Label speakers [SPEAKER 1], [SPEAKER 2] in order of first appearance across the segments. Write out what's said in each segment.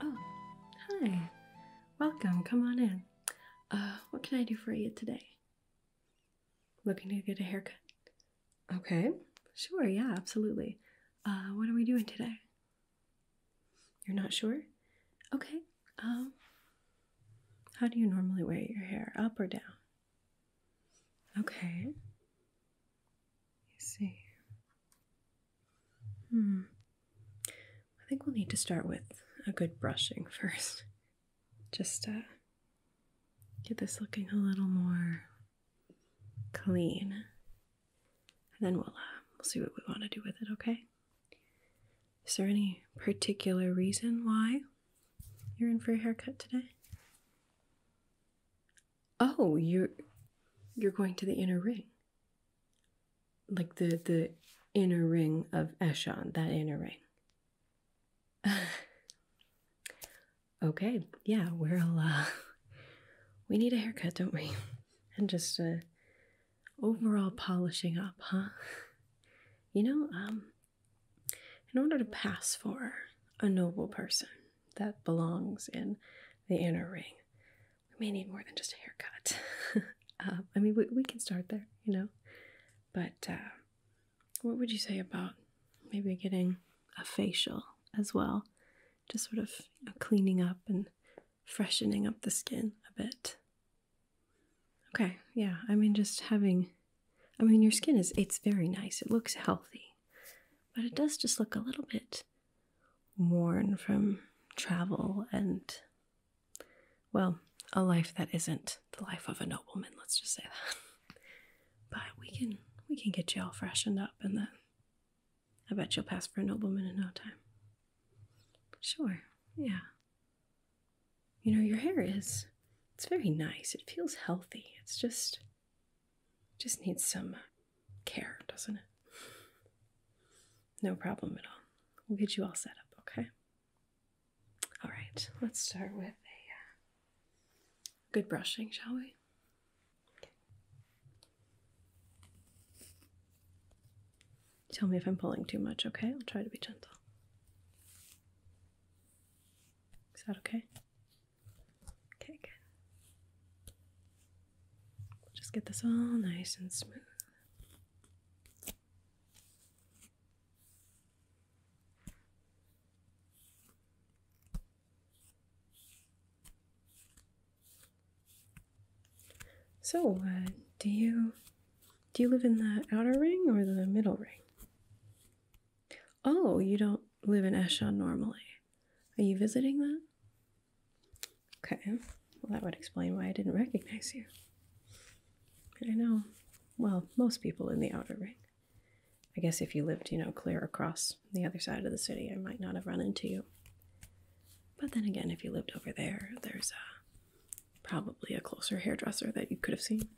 [SPEAKER 1] Oh, hi. Welcome. Come on in. Uh, what can I do for you today? Looking to get a haircut? Okay. Sure, yeah, absolutely. Uh, what are we doing today? You're not sure? Okay. Um how do you normally wear your hair? Up or down? Okay. You see. Hmm. I think we'll need to start with a good brushing first. Just uh get this looking a little more clean and then we'll um, we'll see what we want to do with it. Okay? Is there any particular reason why you're in for a haircut today? Oh, you're you're going to the inner ring, like the the inner ring of Eshon, that inner ring. okay, yeah, we'll uh, we need a haircut, don't we? and just a uh, overall polishing up, huh? You know, um, in order to pass for a noble person that belongs in the inner ring, we may need more than just a haircut. Uh, I mean, we, we can start there, you know. But uh, what would you say about maybe getting a facial as well? Just sort of cleaning up and freshening up the skin a bit. Okay, yeah, I mean, just having, I mean, your skin is, it's very nice. It looks healthy, but it does just look a little bit worn from travel and, well, a life that isn't the life of a nobleman, let's just say that. But we can, we can get you all freshened up and then I bet you'll pass for a nobleman in no time. Sure, yeah. You know, your hair is. It's very nice. It feels healthy. It's just. just needs some care, doesn't it? No problem at all. We'll get you all set up, okay? All right, let's start with a uh, good brushing, shall we? Tell me if I'm pulling too much, okay? I'll try to be gentle. Is that okay? Okay, good. We'll just get this all nice and smooth. So, uh, do you do you live in the outer ring or the middle ring? Oh, you don't live in Eshon normally. Are you visiting that? Okay, well that would explain why I didn't recognize you. I know. Well, most people in the outer ring. I guess if you lived, you know, clear across the other side of the city, I might not have run into you. But then again, if you lived over there, there's uh, probably a closer hairdresser that you could have seen.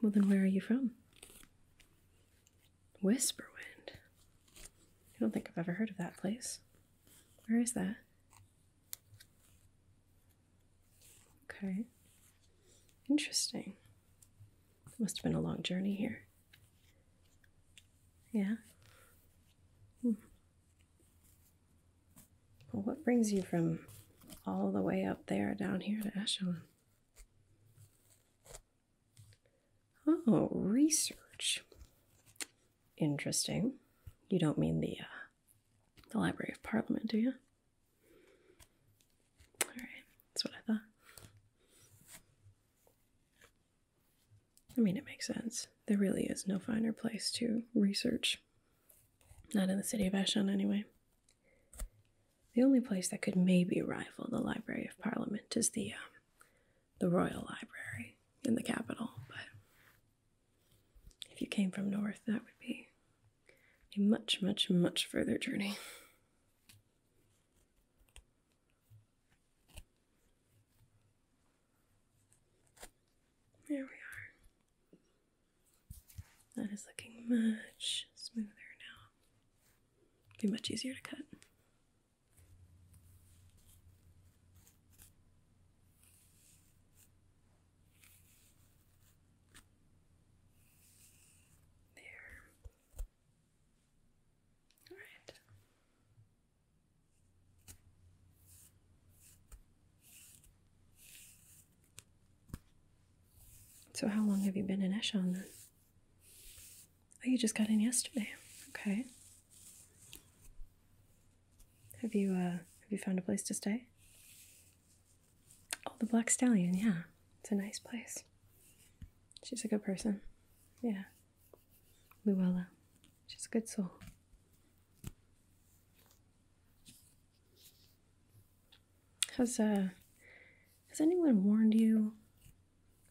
[SPEAKER 1] Well, then where are you from? Whisperwind. I don't think I've ever heard of that place. Where is that? Okay. Interesting. Must have been a long journey here. Yeah? Hmm. Well, what brings you from all the way up there down here
[SPEAKER 2] to Ashland?
[SPEAKER 1] Oh, research. Interesting. You don't mean the, uh, the Library of Parliament, do you? All right, that's what I thought. I mean, it makes sense. There really is no finer place to research. Not in the city of Eshon, anyway. The only place that could maybe rival the Library of Parliament is the um, the Royal Library in the capital. But if you came from north, that would be a much, much, much further journey. There we are. That is looking much smoother now. Be much easier to
[SPEAKER 2] cut. There. All right.
[SPEAKER 1] So, how long have you been in Eshon then? Oh, you just got in yesterday. Okay. Have you uh, have you found a place to stay? Oh, the Black Stallion. Yeah, it's a nice place. She's a good person. Yeah. Luella. She's a good soul. Has uh has anyone warned you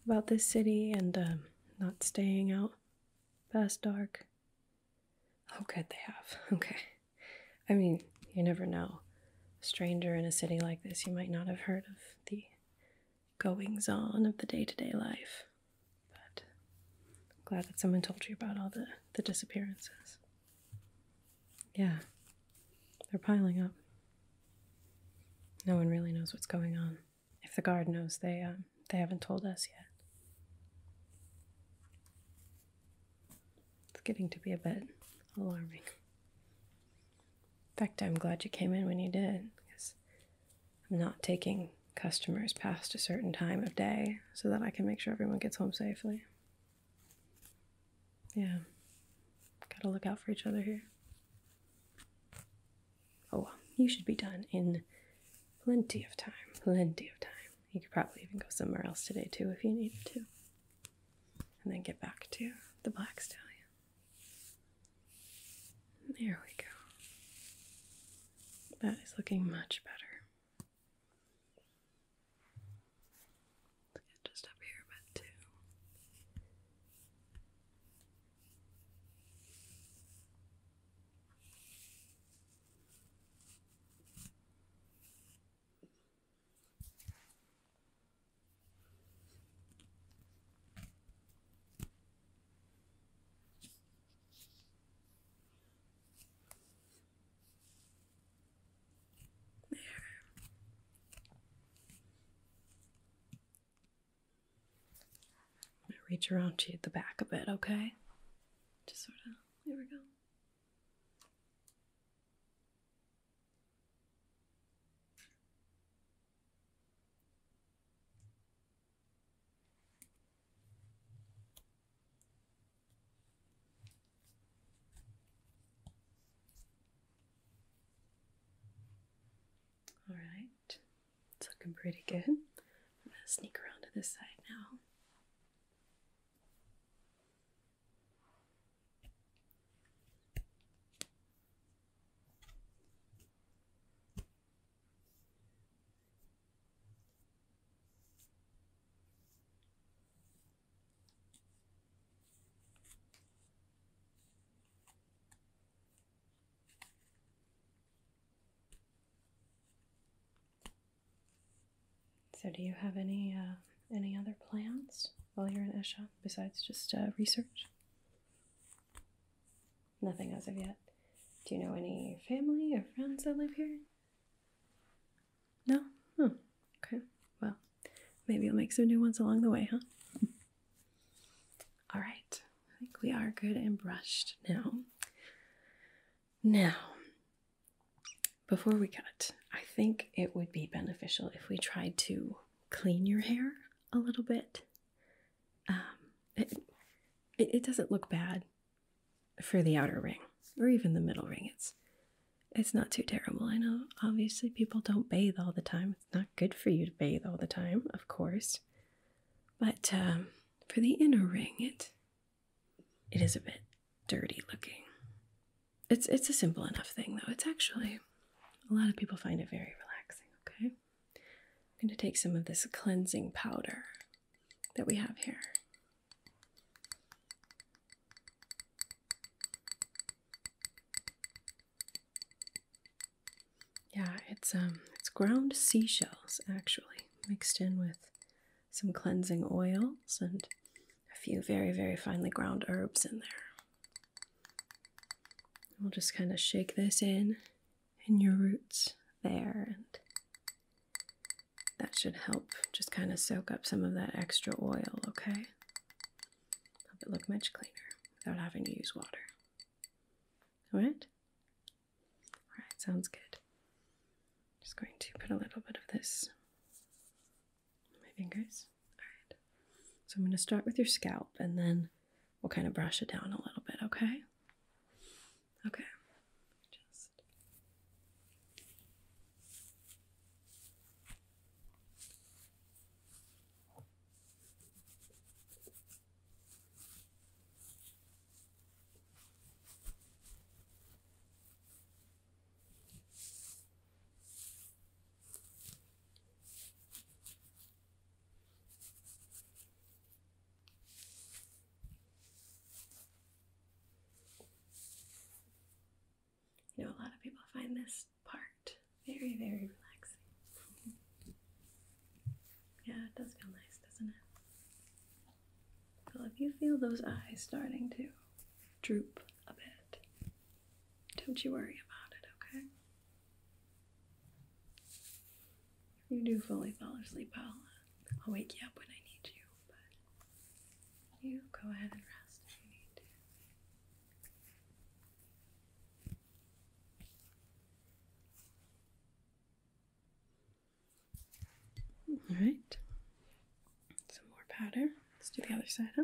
[SPEAKER 1] about this city and um, not staying out past dark? Oh good they have. Okay. I mean, you never know. stranger in a city like this you might not have heard of the goings on of the day to day life. But glad that someone told you about all the, the disappearances. Yeah, they're piling up. No one really knows what's going on. If the guard knows, they um, they haven't told us yet. It's getting to be a bit alarming. In fact, I'm glad you came in when you did because I'm not taking customers past a certain time of day so that I can make sure everyone gets home safely. Yeah, gotta look out for each other here. Oh, well, you should be done in plenty of time. Plenty of time. You could probably even go somewhere else today too if you needed to. And then get back to the black stallion. There we go. That is looking much better. just up here a bit there. I'm gonna reach around to the back a bit, okay? Just sort of, there we go. All right, it's looking pretty good. I'm going to sneak around to this side now. So, do you have any uh, any other plans while you're in Esha besides just uh, research? Nothing as of yet. Do you know any family or friends that live here? No? Hmm. okay. Well, maybe you'll make some new ones along the way, huh? All right. I think we are good and brushed now. Now, before we cut, I think it would be beneficial if we tried to clean your hair a little bit um, it, it doesn't look bad for the outer ring or even the middle ring. It's it's not too terrible. I know obviously people don't bathe all the time. It's not good for you to bathe all the time, of course. But um, for the inner ring, it it is a bit dirty looking. It's it's a simple enough thing though. It's actually a lot of people find it very relaxing, okay? I'm going to take some of this cleansing powder that we have here. Yeah, it's um it's ground seashells actually mixed in with some cleansing oils and a few very very finely ground herbs in there. We'll just kind of shake this in in your roots there, and that should help just kind of soak up some of that extra oil, okay? Help it look much cleaner without having to use water. Alright? Alright, sounds good. Just going to put a little bit of this on my fingers. Alright. So I'm going to start with your scalp and then we'll kind of brush it down a little bit, okay? Okay. You know, a lot of people find this part very, very relaxing. yeah, it does feel nice, doesn't it? Well, if you feel those eyes starting to droop a bit, don't you worry about it, okay? You do fully fall asleep, I'll, I'll wake you up when I need you, but you go ahead and rest if you need to. All right, some more powder. Let's do the other side, huh?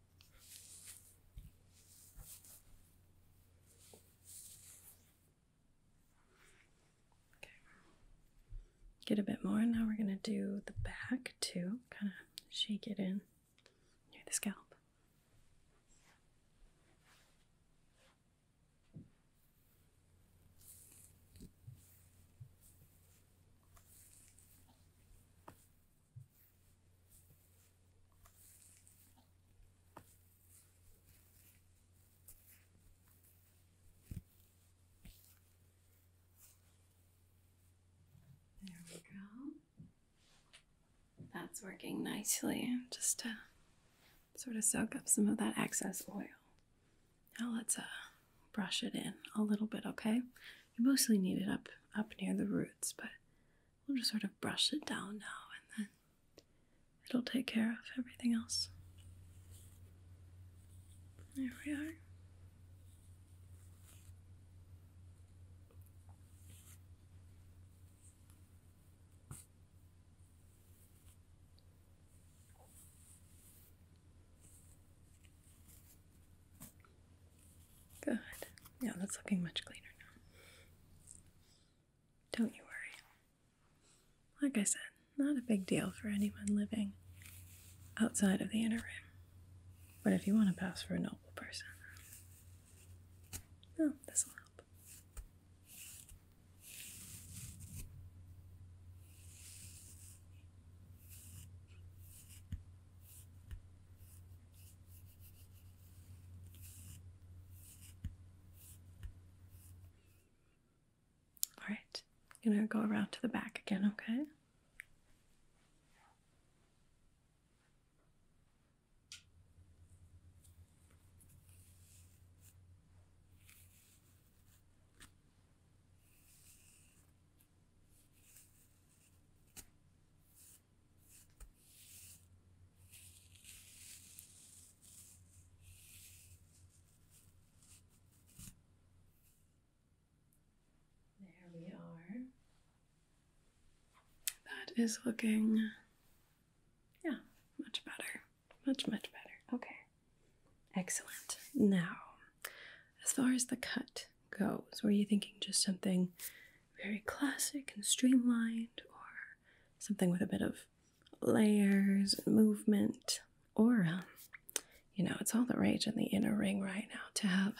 [SPEAKER 1] Get a bit more. Now we're going to do the back too. Kind of shake it in near the scalp. There we go. That's working nicely just to sort of soak up some of that excess oil. Now let's uh, brush it in a little bit, okay? You mostly need it up up near the roots, but We'll just sort of brush it down now and then it'll take care of everything else. There we are. Good. Yeah, that's looking much cleaner now. Don't you worry. Like I said, not a big deal for anyone living outside of the inner rim. But if you want to pass for a noble person, well, this will help. All right, I'm gonna go around to the back again, okay? There we are. That is looking, yeah, much better. Much, much better. Okay. Excellent. Now, as far as the cut goes, were you thinking just something very classic and streamlined, or something with a bit of layers and movement, or um, you know, it's all the rage in the inner ring right now to have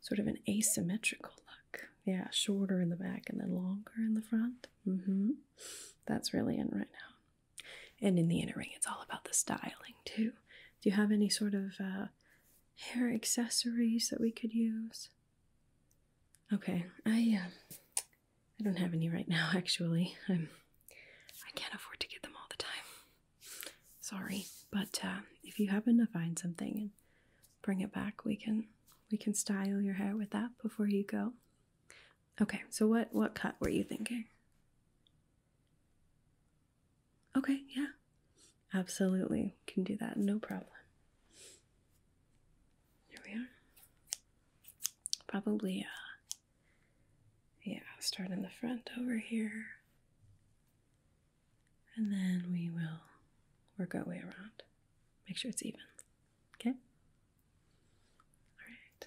[SPEAKER 1] sort of an asymmetrical look. Yeah, shorter in the back and then longer in the front. Mm-hmm. That's really in right now. And in the inner ring, it's all about the styling too. Do you have any sort of uh, hair accessories that we could use? Okay, I uh, I don't have any right now. Actually, I'm I can't afford to get them all the time. Sorry, but uh, if you happen to find something and bring it back, we can we can style your hair with that before you go. Okay, so what what cut were you thinking? Okay, yeah, absolutely can do that. No problem. Here we are. Probably, uh, yeah, start in the front over here. And then we will work our way around. Make sure it's even. Okay? Alright.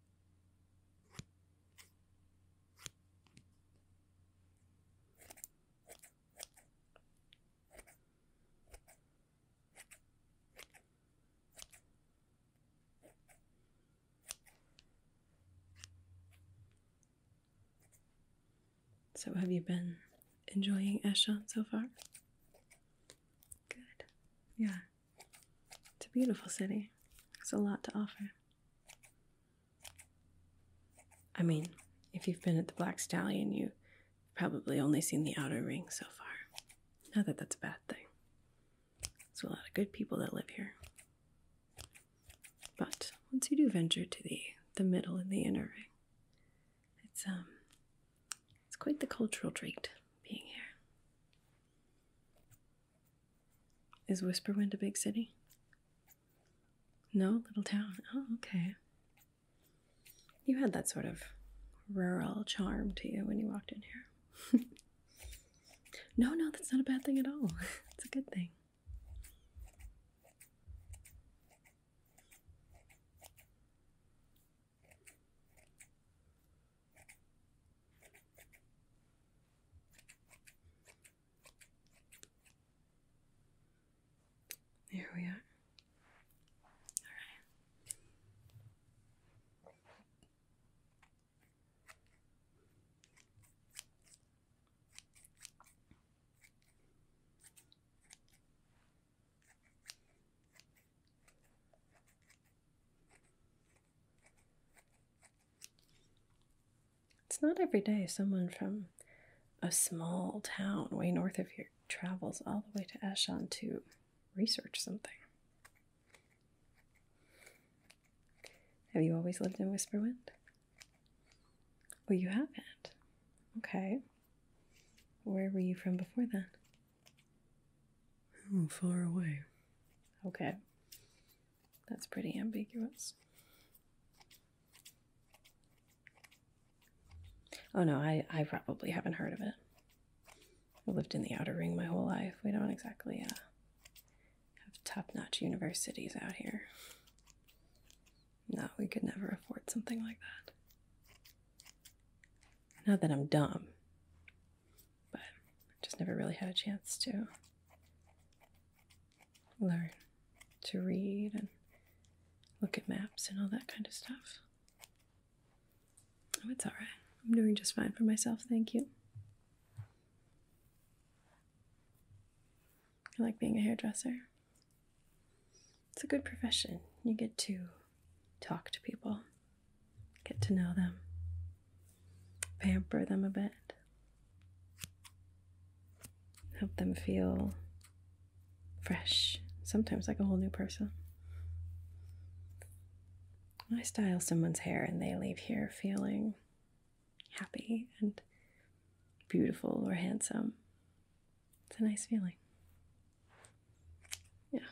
[SPEAKER 1] So, have you been enjoying Eshon so far? Good. Yeah. It's a beautiful city. It's a lot to offer. I mean, if you've been at the Black Stallion, you've probably only seen the outer ring so far. Not that that's a bad thing. There's a lot of good people that live here. But once you do venture to the the middle and the inner ring, it's um it's quite the cultural treat being here. Is Whisperwind a big city? No, little town. Oh, okay. You had that sort of rural charm to you when you walked in here. no, no, that's not a bad thing at all. it's a good thing. There we are. All right. It's not every day someone from a small town way north of here travels all the way to Ashon to research something. Have you always lived in Whisperwind? Well, you haven't. Okay. Where were you from before then? Oh, far away. Okay. That's pretty ambiguous. Oh no, I, I probably haven't heard of it. I lived in the outer ring my whole life. We don't exactly uh, have top notch universities out here. No, we could never afford something like that. Not that I'm dumb, but I just never really had a chance to learn to read and look at maps and all that kind of stuff. Oh, it's all right. I'm doing just fine for myself, thank you. I like being a hairdresser. It's a good profession. You get to talk to people Get to know them, pamper them a bit, help them feel fresh, sometimes like a whole new person. I style someone's hair and they leave here feeling happy and beautiful or handsome. It's a nice feeling.
[SPEAKER 2] Yeah.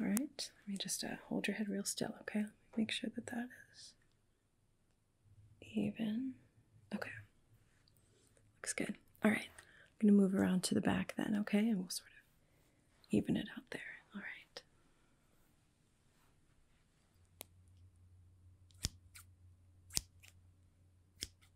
[SPEAKER 1] All right, let me just uh, hold your head real still, okay? Make sure that that is even. Okay, looks good. All right, I'm gonna move around to the back then, okay? And we'll sort of even it out there. All right.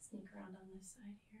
[SPEAKER 1] Sneak around on this side here.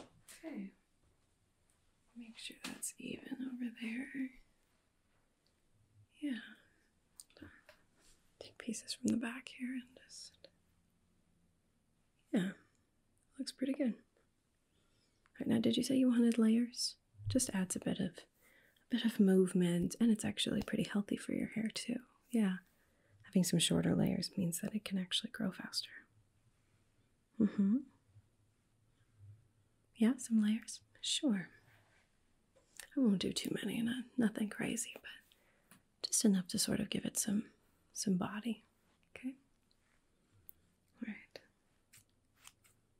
[SPEAKER 1] Okay. Make sure that's even over there. Yeah. Take pieces from the back here and just. Yeah. Looks pretty good. Right now, did you say you wanted layers? Just adds a bit of a bit of movement and it's actually pretty healthy for your hair too. Yeah. Having some shorter layers means that it can actually grow faster. Mm-hmm. Yeah, some layers? Sure. I won't do too many, not nothing crazy, but just enough to sort of give it some some body.
[SPEAKER 2] Okay. All right.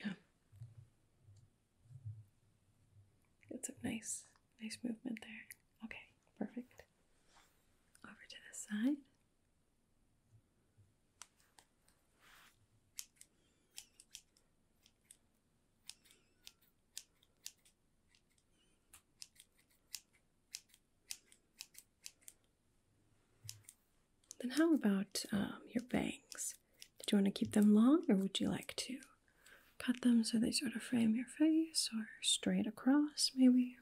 [SPEAKER 1] Yeah. Got some nice, nice movement there. Okay, perfect. Over to this side. Then, how about um, your bangs? Did you want to keep them long or would you like to cut them so they sort of frame your face or straight across, maybe?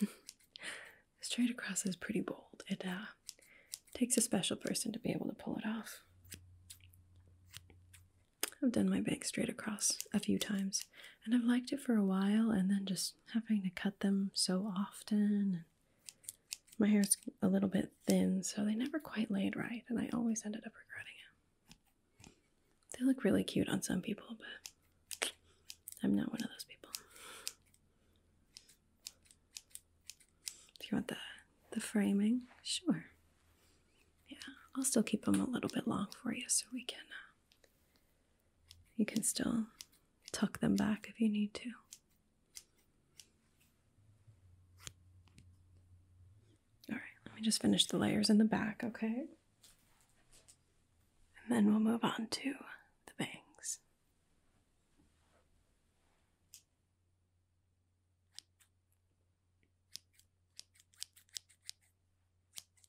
[SPEAKER 1] straight across is pretty bold. It uh, takes a special person to be able to pull it off. I've done my bangs straight across a few times and I've liked it for a while and then just having to cut them so often. My hair is a little bit thin, so they never quite laid right, and I always ended up regretting it. They look really cute on some people, but I'm not one of those people. Do you want the the framing? Sure. Yeah, I'll still keep them a little bit long for you so we can uh, you can still tuck them back if you need to. All right, let me just finish the layers in the back, okay? And then we'll move on to the bangs.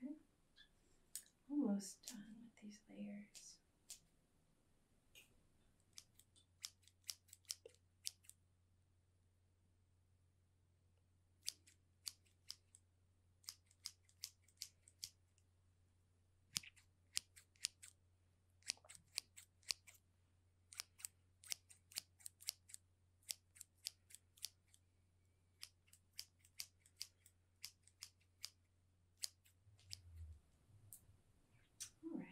[SPEAKER 1] Okay, almost done with these layers.
[SPEAKER 2] All right.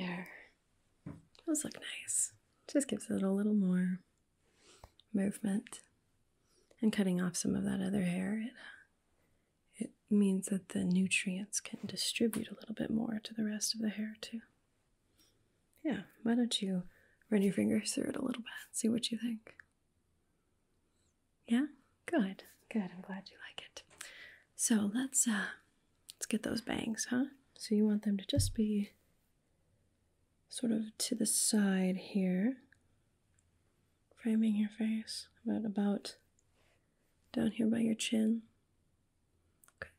[SPEAKER 2] There. Those look nice.
[SPEAKER 1] Just gives it a little more movement. And cutting off some of that other hair, it means that the nutrients can distribute a little bit more to the rest of the hair, too. Yeah, why don't you run your fingers through it a little bit and see what you think? Yeah? Good. Good. I'm glad you like it. So let's uh let's get those bangs, huh? So you want them to just be sort of to the side here framing your face, about about down here by your chin. Okay,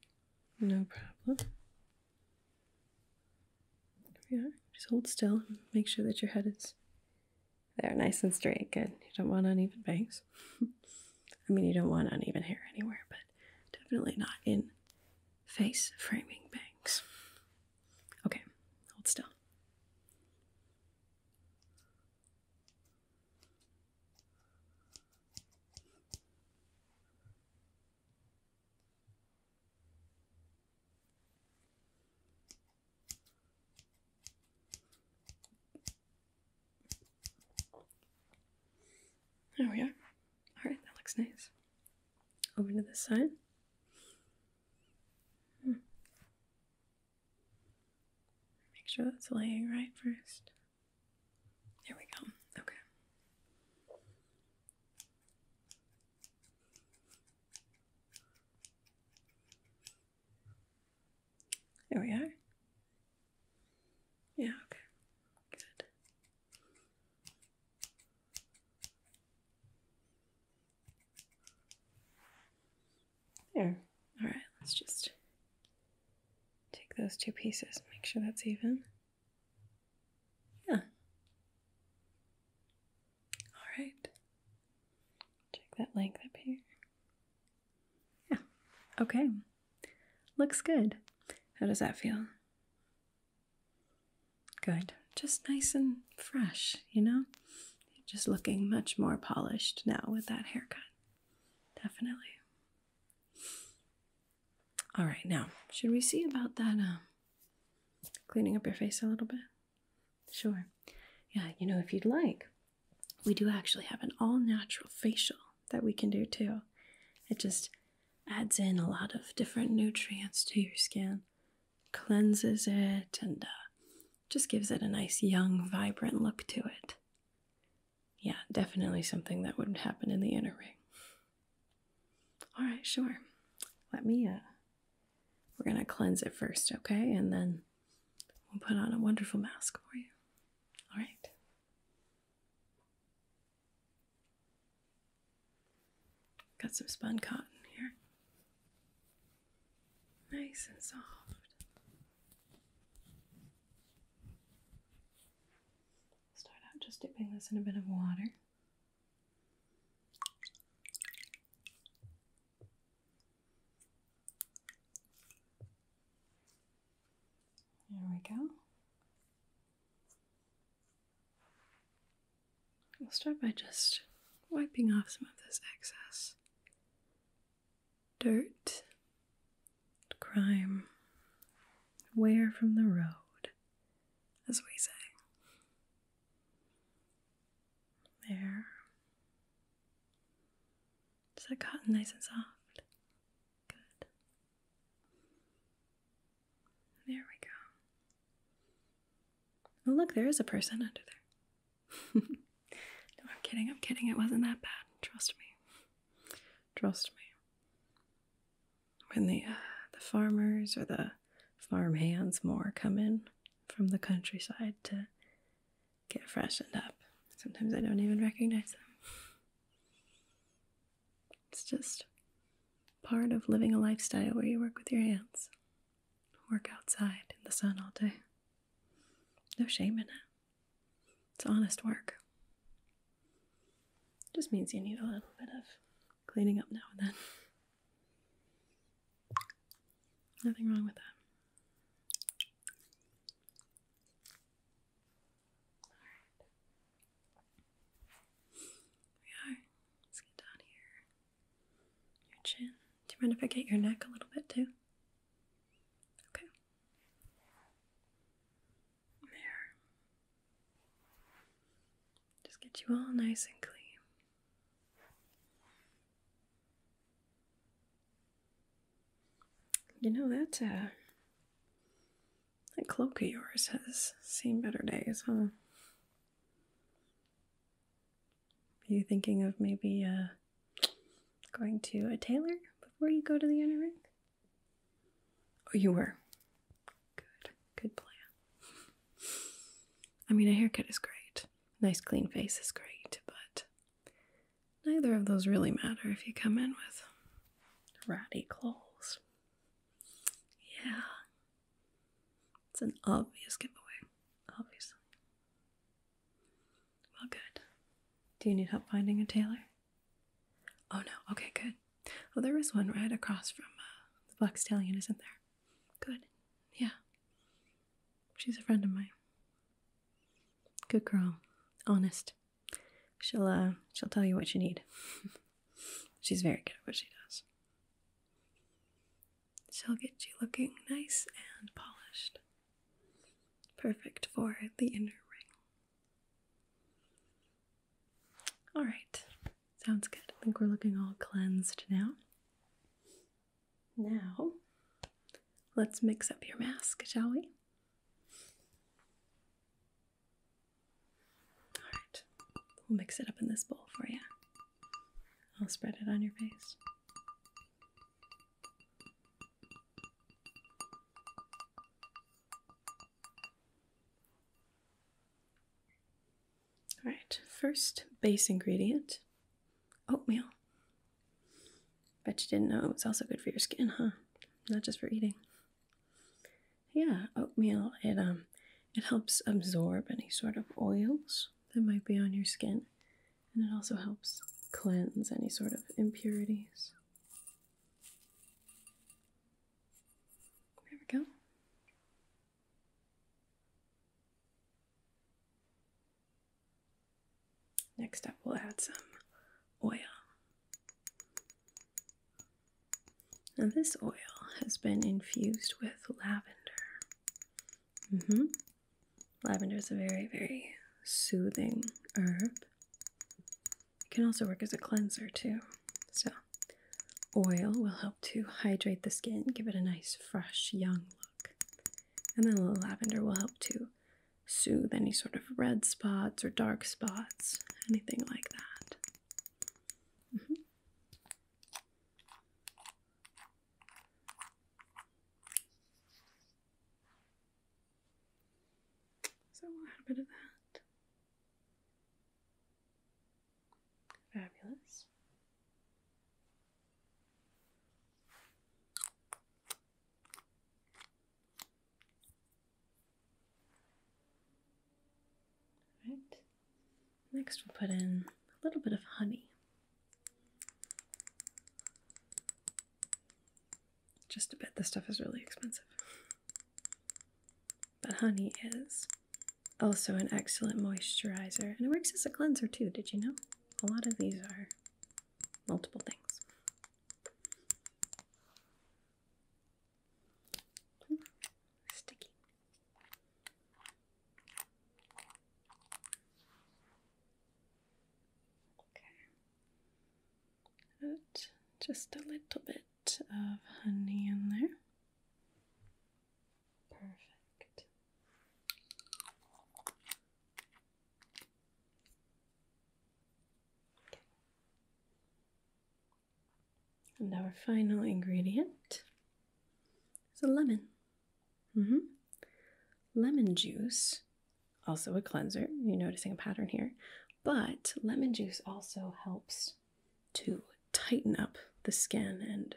[SPEAKER 1] no problem. Yeah, just hold still. Make sure that your head is there, nice and straight. Good. You don't want uneven bangs. I mean, you don't want uneven hair anywhere, but definitely not in face framing bangs. Okay, hold still. There we are. Alright, that looks nice. Over to this side. Hmm. Make sure that's laying right first. There we go. Okay. There we are. Yeah, okay. Good. There. All right, let's just take those two pieces, make sure that's even. Yeah. All right. Check that length up here. Yeah. Okay. Looks good.
[SPEAKER 2] How does that feel?
[SPEAKER 1] Good. Just nice and fresh, you know? just looking much more polished now with that haircut. Definitely. All right, now, should we see about that um cleaning up your face a little bit? Sure. Yeah, you know, if you'd like, we do actually have an all natural facial that we can do too. It just adds in a lot of different nutrients to your skin cleanses it and uh, just gives it a nice young, vibrant look to it. Yeah, definitely something that would not happen in the inner ring. All right, sure. Let me, uh, we're gonna cleanse it first, okay? And then we'll put on a wonderful mask for you. All right. Got some spun cotton here nice and soft. Start out just dipping this in a bit of water. There we go. We'll start by just wiping off some of this excess dirt, crime, wear from the road, as we say. There. Is that cotton nice and soft? Good. There we go. Oh, look, there is a person under there. no, I'm kidding. I'm kidding. It wasn't that bad. Trust me. Trust me. When the uh, the farmers or the farm hands more come in from the countryside to get freshened up, sometimes I don't even recognize them. It's just part of living a lifestyle where you work with your hands, work outside in the sun all day. No shame in it. It's honest work. Just means you need a little bit of cleaning up now and then. Nothing wrong with that. All right. We are. Let's get down here your chin. Do you mind if I get your neck a little bit too? Okay. There. Just get you all nice and clean. You know that uh, that cloak of yours has seen better days, huh? Are you thinking of maybe uh, going to a tailor before you go to the inner ring? Oh, you were. Good, good plan. I mean, a haircut is great, nice clean face is great, but neither of those really matter if you come in with ratty clothes. Yeah. It's an obvious giveaway, obviously. Well, good. Do you need help finding a tailor? Oh no. Okay, good. Well, there is one right across from uh, the Black Stallion, isn't there? Good. Yeah. She's a friend of mine. Good girl. Honest. She'll uh, she'll tell you what you need. She's very good at what she does. She'll get you looking nice and polished. Perfect for the inner ring. Alright, sounds good. I think we're looking all cleansed now. Now, let's mix up your mask, shall we? Alright, we'll mix it up in this bowl for you. I'll spread it on your face. All right, first base ingredient oatmeal. Bet you didn't know it was also good for your skin, huh? Not just for eating. Yeah, oatmeal, it um it helps absorb any sort of oils that might be on your skin and it also helps cleanse any sort of impurities. There we go. Next up, we'll add some oil. Now, this oil has been infused with lavender. Mm -hmm. Lavender is a very, very soothing herb. It can also work as a cleanser too. So, oil will help to hydrate the skin, give it a nice, fresh, young look. And then the lavender will help to soothe any sort of red spots or dark spots, anything like that. Mm-hmm. So a bit of that. Fabulous. All right. Next, we'll put in a little bit of honey. Just a bit. This stuff is really expensive. But honey is also an excellent moisturizer and it works as a cleanser too. Did you know? A lot of these are multiple things. Hmm. Sticky. Okay. just a little bit of honey in there. Perfect. And our final ingredient is a lemon. Mm-hmm. Lemon juice, also a cleanser. You're noticing a pattern here. But lemon juice also helps to tighten up the skin and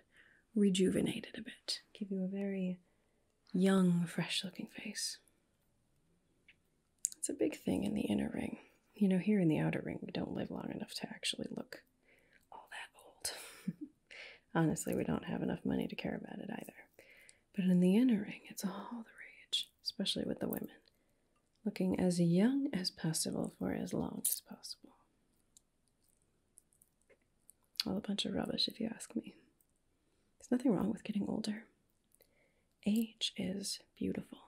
[SPEAKER 1] rejuvenate it a bit, give you a very young, fresh looking face. It's a big thing in the inner ring. You know, here in the outer ring, we don't live long enough to actually look all that old. Honestly, we don't have enough money to care about it either. But in the inner ring, it's all the rage, especially with the women. Looking as young as possible for as long as possible. All a bunch of rubbish, if you ask me. There's nothing wrong with getting older. Age is beautiful.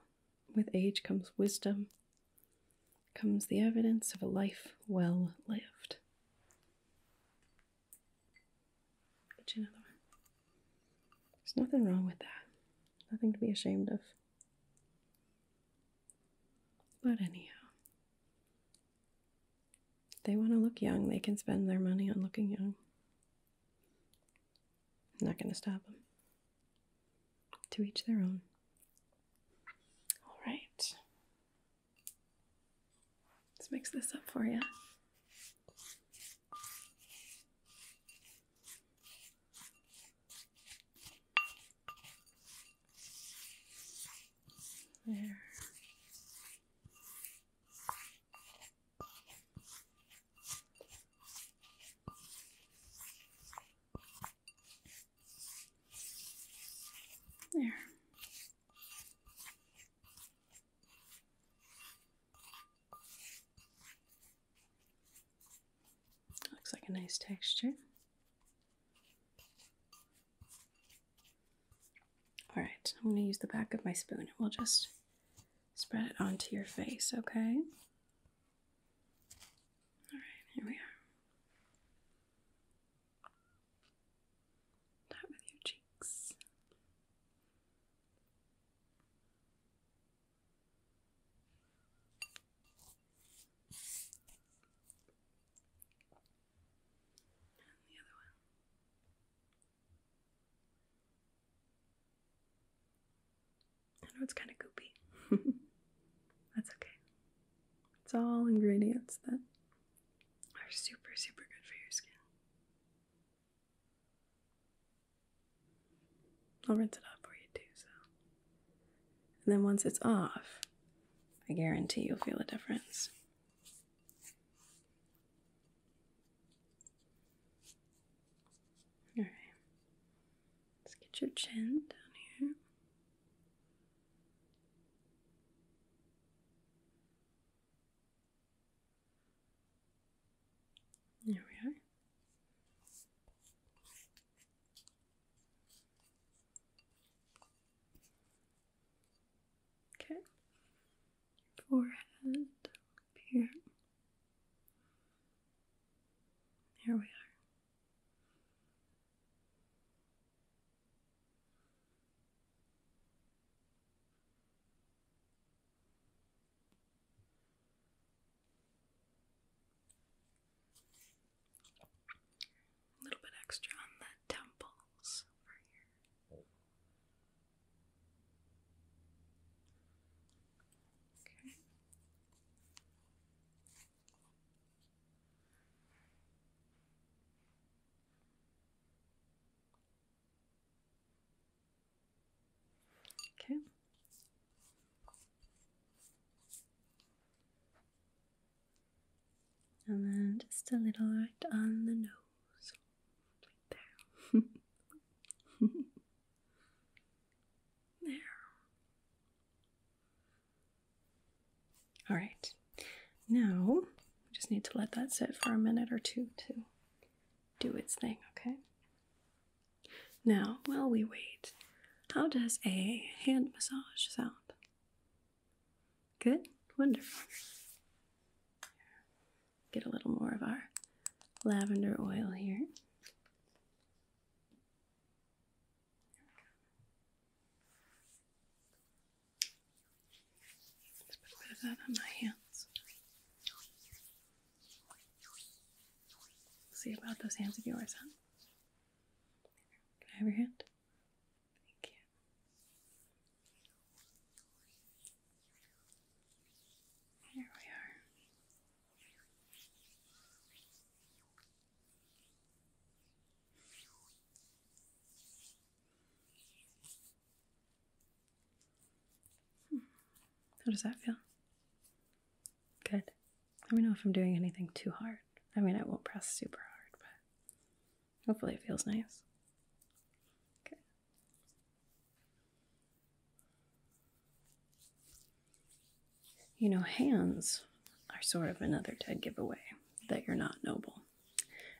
[SPEAKER 1] With age comes wisdom, comes the evidence of a life well lived. Get you another one. There's nothing wrong with that. Nothing to be ashamed of. But anyhow, they want to look young, they can spend their money on looking young. I'm not going to stop them. To each their own. All right. Let's mix this up for you.
[SPEAKER 2] There. There.
[SPEAKER 1] Looks like a nice texture. All right, I'm going to use the back of my spoon and we'll just spread it onto your face, okay? All right,
[SPEAKER 2] here we are. Start with your cheeks.
[SPEAKER 1] I know it's kind of goopy. That's okay. It's all ingredients then are super, super good for your skin. I'll rinse it off for you too, so. And then once it's off, I guarantee you'll feel a difference. Alright.
[SPEAKER 2] Let's get your chin down here. There we are. Okay. Forehead here. Here we are.
[SPEAKER 1] A little bit extra on the temples for
[SPEAKER 2] here. Okay. Okay. And then
[SPEAKER 1] just a little right on the nose. there.
[SPEAKER 2] there.
[SPEAKER 1] All right, now we just need to let that sit for a minute or two to do its thing, okay? Now, while we wait, how does a hand massage sound? Good? Wonderful. Get a little more of our lavender oil here
[SPEAKER 2] a bit of that on my hands.
[SPEAKER 1] See about those hands of yours, huh? Can I have your hand? Thank you. Here we are. How does that feel? Good. Let me know if I'm doing anything too hard. I mean, I won't press super hard, but hopefully it feels nice. Okay. You know, hands are sort of another dead giveaway that you're not noble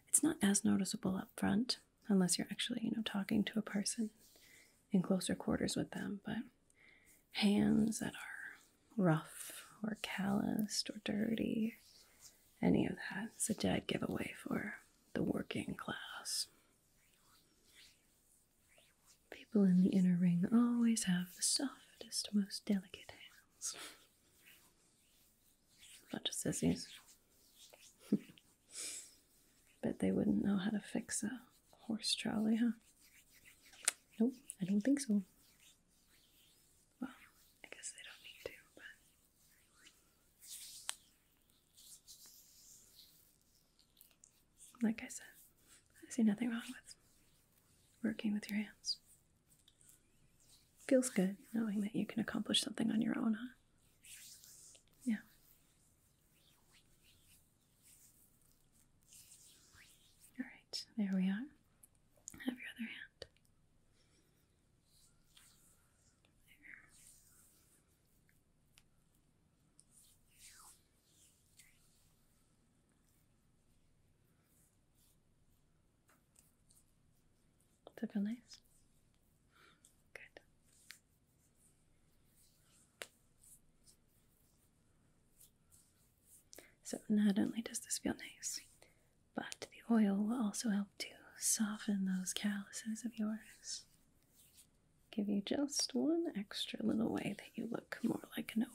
[SPEAKER 1] it's not as noticeable up front unless you're actually, you know, talking to a person in closer quarters with them, but hands that are rough or calloused or dirty, any of that. It's a dead giveaway for the working class. People in the inner ring always have the softest, most delicate hands bunch of sissies. Bet they wouldn't know how to fix a horse trolley, huh? Nope, I don't think so. Well, I guess they don't need to, but. Like I said, I see nothing wrong with working with your hands. Feels good knowing that you can accomplish something on your own, huh? Yeah. All right, there we are. Have your other hand. Does that feel nice? Good. So, not only does this feel nice, but the oil will also help to soften those calluses of yours. Give you just one extra little way that you look more like a noble.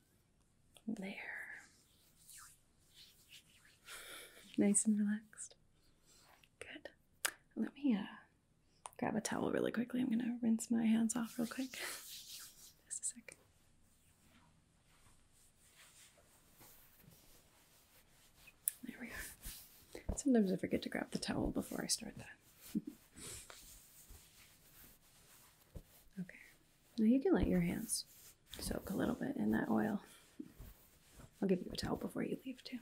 [SPEAKER 1] There. Nice and relaxed. Good. Let me uh, grab a towel really quickly. I'm going to rinse my hands off real quick. Just a second. There we are. Sometimes I forget to grab the towel before I start that. okay. Now you can let your hands soak a little bit in that oil. I'll give you a towel before you leave too.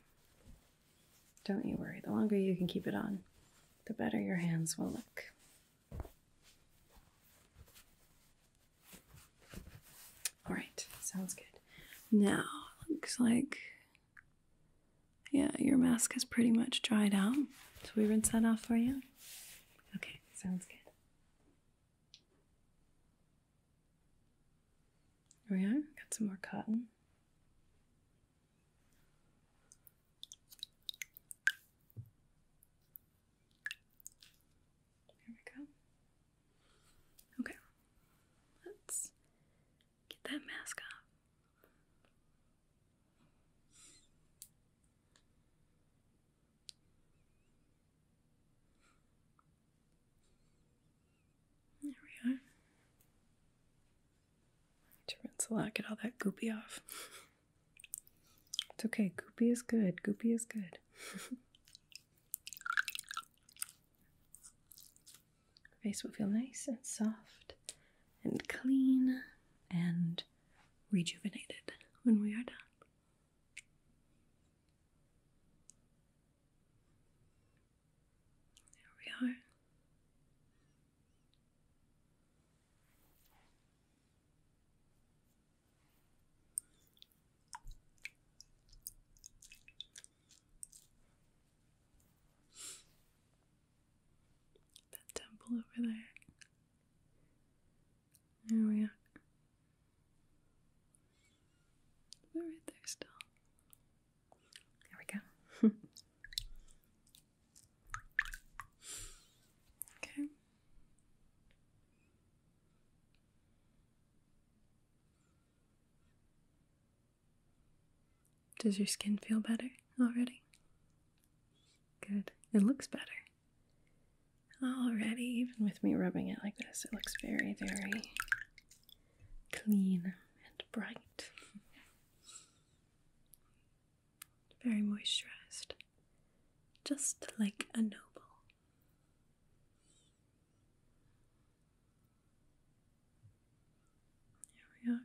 [SPEAKER 1] Don't you worry, the longer you can keep it on, the better your hands will look. All right, sounds good. Now, looks like, yeah, your mask has pretty much dried out. So we rinse that off for you? Okay, sounds good. There we are, got some more cotton. There we go. Okay, let's get that mask off.
[SPEAKER 2] There we are.
[SPEAKER 1] To rinse a lot, get all that goopy off. It's okay, goopy is good, goopy is good. Face will feel nice and soft and clean and rejuvenated when we are done. There we are. That temple over there. There we are. We're right there still. There we go. okay. Does your skin feel better already? Good. It looks better. Already, even with me rubbing it like this, it looks very, very clean and bright. Very moisturized, just like a noble. Here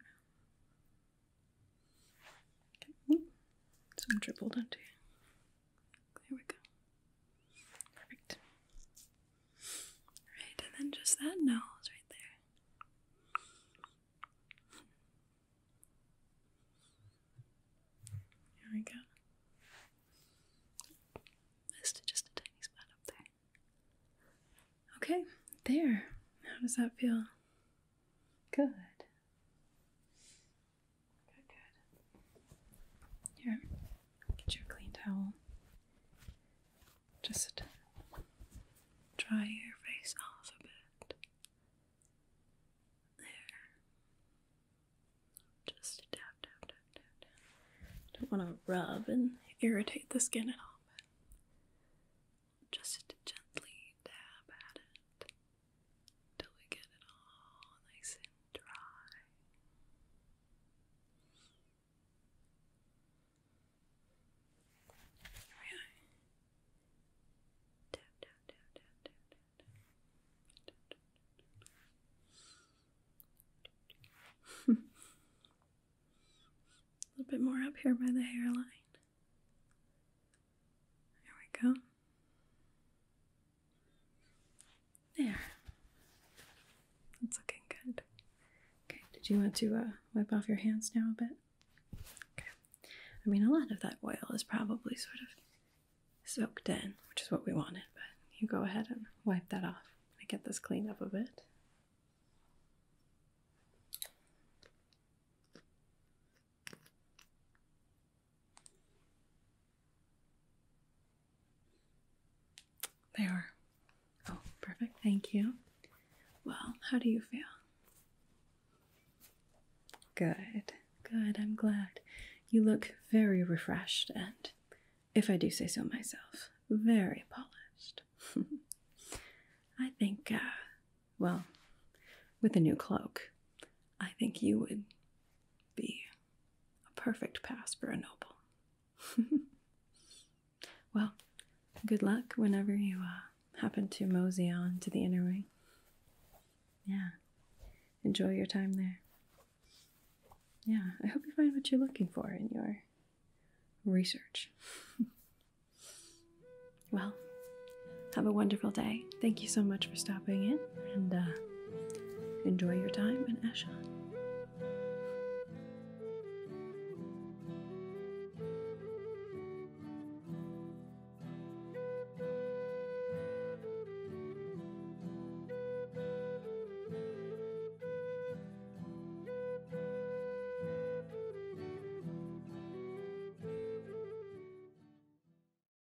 [SPEAKER 1] we are. Some dribbled onto you. There we go. Perfect. Right, and then just that nose right there. There we go. just a tiny spot up there. Okay, there. How does that feel? Good. Good, good. Here, get you a clean towel. Just dry your face off a bit. There. Just tap, tap, tap, tap, tap. Don't want to rub and irritate the skin at all, but just gently dab
[SPEAKER 2] at it till we get it all nice and dry. Here we are. Tap,
[SPEAKER 1] tap, tap, tap, tap, tap, tap, A little bit more up here by the
[SPEAKER 2] hairline. There we go. There. That's looking good.
[SPEAKER 1] Okay, did you want to uh, wipe off your hands now a bit? Okay. I mean, a lot of that oil is probably sort of soaked in, which is what we wanted, but you go ahead and wipe that off. I get this cleaned up a bit. They are. Oh, perfect. Thank you. Well, how do you feel? Good. Good. I'm glad. You look very refreshed and, if I do say so myself, very polished. I think, uh, well, with a new cloak, I think you would be a perfect pass for a noble. well, good luck whenever you uh, happen to mosey on to the inner ring. Yeah, enjoy your time there. Yeah, I hope you find what you're looking for in your research. well, have a wonderful day Thank you so much for stopping in and uh, enjoy your time in
[SPEAKER 2] Eshan.